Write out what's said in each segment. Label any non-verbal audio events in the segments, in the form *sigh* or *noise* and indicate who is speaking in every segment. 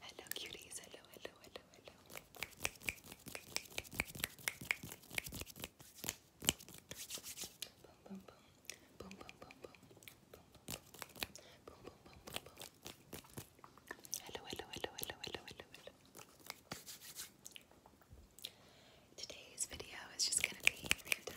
Speaker 1: Hello, cuties. Hello, hello, hello, hello. Boom, boom, boom. Boom, boom, boom, boom. Boom, boom, boom. Boom, boom, hello, hello, hello, hello, hello, hello. Today's video is just gonna be random.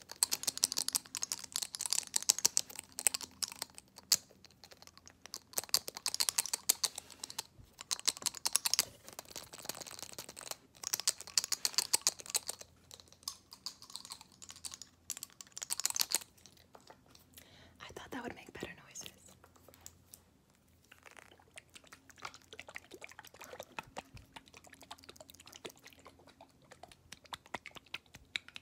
Speaker 1: I thought that would make better noises.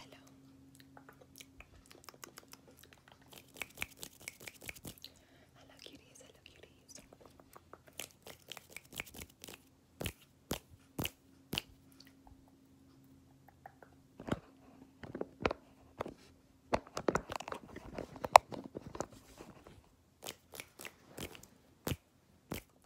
Speaker 1: Hello. Hello cuties, hello cuties. Hello,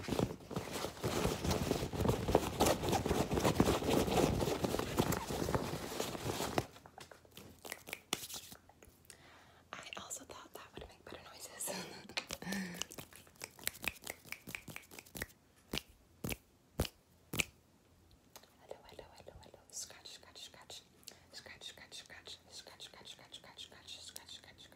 Speaker 1: I also thought that would make better noises. hello, hello, hello, hello. Scratch, scratch, scratch. Scratch, scratch, scratch. Scratch, scratch, scratch, scratch, scratch, scratch, scratch, scratch,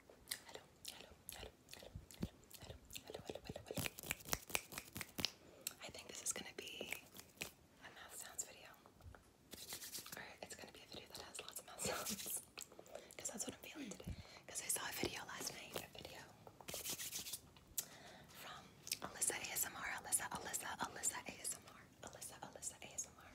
Speaker 1: I think this is gonna be a mouth sounds video. Or it's gonna be a video that has lots of mouth sounds. Because that's what I'm feeling today. Because I saw a video last night, a video from Alyssa ASMR, Alyssa, Alyssa, Alyssa ASMR, Alyssa, Alyssa ASMR.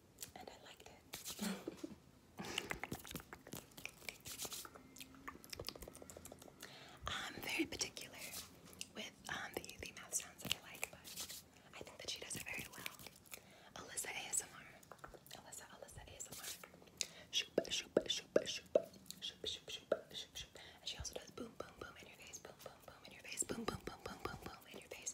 Speaker 1: I am *laughs* very particular with um, the, the mouth sounds that I like, but I think that she does it very well. Alyssa ASMR. Alyssa, Alyssa ASMR. Shoop, shoop, shoop, shoop. Shoop, shoop, shoop, shoop, shoop. And she also does boom, boom, boom in your face. Boom, boom, boom in your face. Boom, boom, boom, boom, boom, boom in your face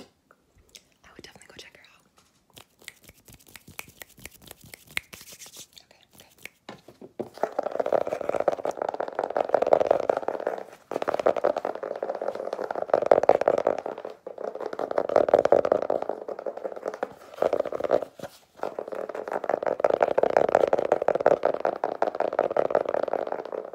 Speaker 1: I would definitely go check her out. Okay,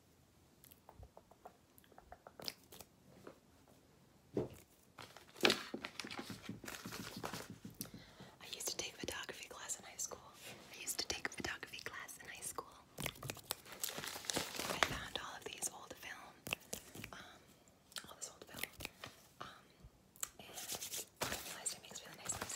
Speaker 1: I used to take photography class in high school. I used to take photography class in high school. I found all of these old film, um, all this old film, um, and realized it makes really nice noise.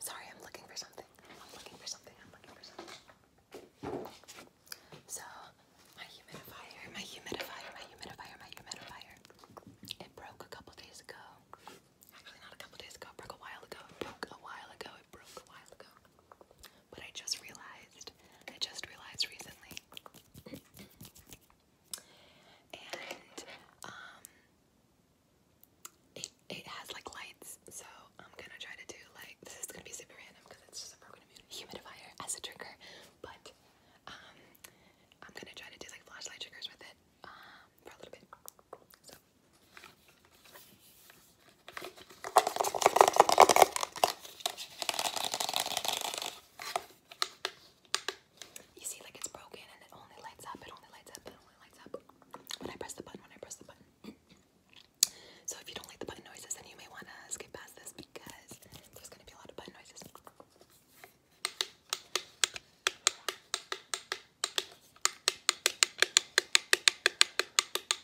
Speaker 1: Sorry, I'm looking for something. I'm looking for something. I'm looking for something. So, my humidifier, my humidifier, my humidifier, my humidifier. It broke a couple days ago. Actually, not a couple days ago. It broke a while ago. It broke a while ago. It broke a while ago. But I just realized, I just realized recently. and um it it has like lights, so I'm gonna try to do like this is gonna be super random because it's just a broken humidifier as a trigger, but um I'm gonna try to do like flashlight triggers with it um for a little bit. So you see, like it's broken and it only lights up, it only lights up, it only lights up when I press the button, when I press the button. *clears throat* so if you don't like the button noises, then you may want to skip past this because there's going to be a lot of button noises.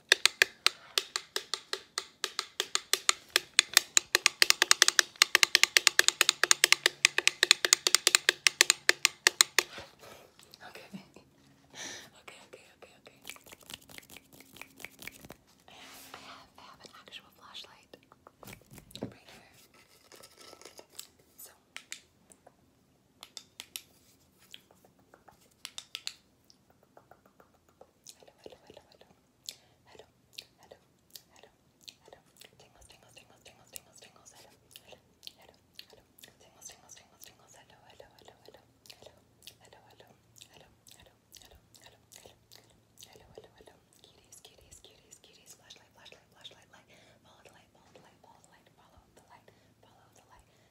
Speaker 1: Okay. *laughs* okay, okay, okay, okay. I have, I have, I have an actual flashlight right here. So. Hello, hello, hello, hello. Hello, hello, hello, hello. Tingles, tingles, tingles, tingles, tingles, tingles, hello. Hello, hello, hello. Tingles, tingles, tingles, tingles, hello, hello, hello, hello. Hello, hello, hello, hello, hello, hello, hello, hello, hello, hello, hello. Cuties, cuties, cuties, cuties, flashlight, flashlight, flashlight, light. Follow the light, follow the light, follow the light, follow the light, follow the light,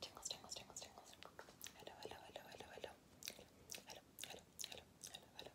Speaker 1: Tingles, tingles, tingles, tingles. Hello, hello, hello, hello, hello. Hello, hello, hello, hello, hello.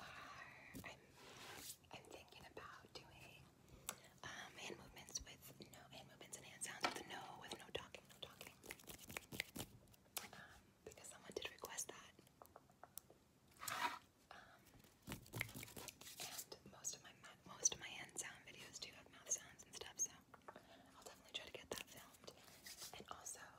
Speaker 1: are I'm thinking about doing um, hand movements with no hand movements and hand sounds with no with no talking, no talking. Um, because someone did request that. Um, and most of my most of my hand sound videos do have mouth sounds and stuff, so I'll definitely try to get that filmed. And also,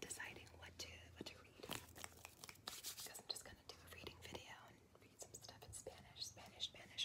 Speaker 1: deciding what to what to read because I'm just gonna do a reading video and read some stuff in Spanish, Spanish, Spanish.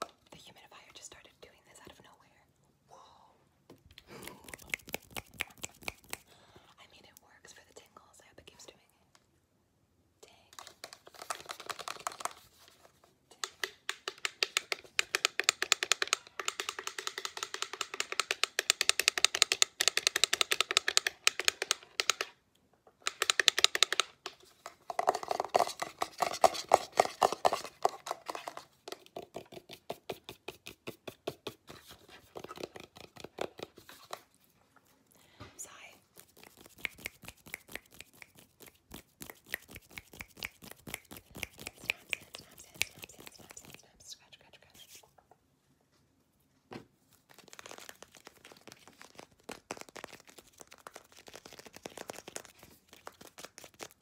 Speaker 1: The humidifier just started doing this out of nowhere. Whoa. I mean, it works for the tingles. I hope doing it. Dang. Dang. Sigh. Scratch, scratch, scratch.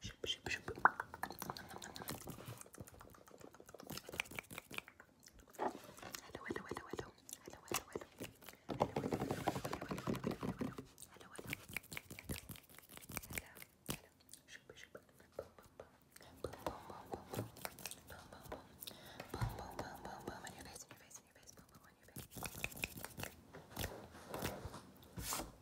Speaker 1: Shoop, shoop, shoop. Hello, hello, hello, hello. Hello, hello, hello. Hello, hello, hello, hello, hello, hello, hello, hello, hello. Hello, hello. Hello, hello. Shoop, shoop. Boom, boom, boom. Boom, boom, boom, boom, boom. Boom, boom, boom. Boom, boom, boom, boom, boom. On your face, on your face, on your face. Boom, boom, on your face.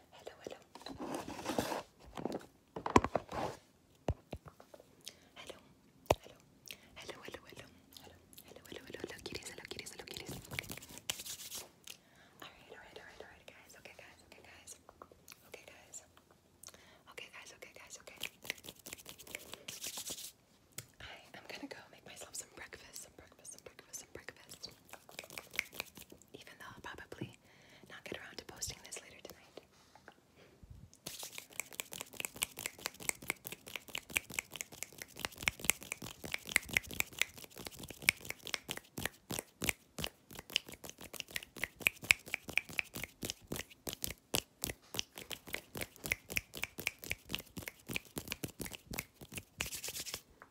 Speaker 1: Hello, hello. Hello, hello, hello, hello, hello, hello, hello, hello, hello, hello, kitties, hello, kitties, hello, kitties. All right, all right, all right, all right, guys. Okay, guys. Okay, guys. Okay, guys. Okay, guys. Okay, guys. Okay. I am gonna go make myself some breakfast, some breakfast, some breakfast, some breakfast. Even though I'll probably not get around to posting this later tonight.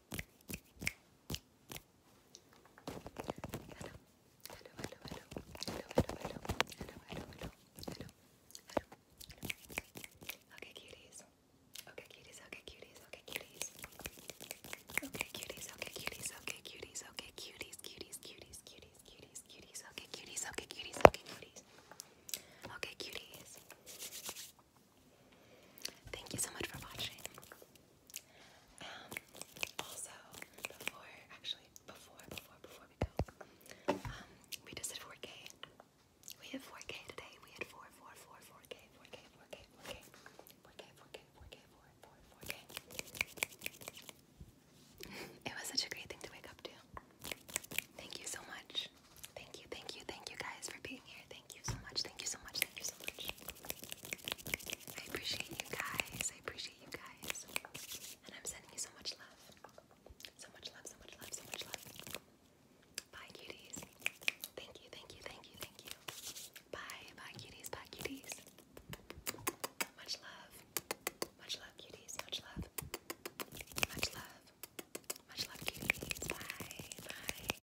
Speaker 1: Okay, cuties. Okay, cuties. Okay, cuties. Okay, cuties. Okay, cuties. Okay, cuties. Okay, cuties. Okay, cuties. Cuties. Cuties. Cuties. Cuties. Cuties. Okay, cuties. Okay, cuties. Okay, cuties. Okay, cuties. Thank you so much for watching. Um, also, before, actually, before, before, before we go, um, we did 4K. We had 4K today. We had 4, k 4K, 4K, 4K, 4K, 4K, 4K, 4 k It was such a great thing to wake up to. Thank you so much. Thank you, thank you, thank you guys for being here. Thank you so much, thank you so much, thank you so much. I appreciate you guys. I appreciate you guys. And I'm sending you so much love. So much love, so much love, so much love. Bye, cuties. Thank you, thank you, thank you, thank you. Bye, bye, cuties, bye, cuties. Much love. Much love, cuties. Much love. Much love. Much love, cuties. Bye, bye.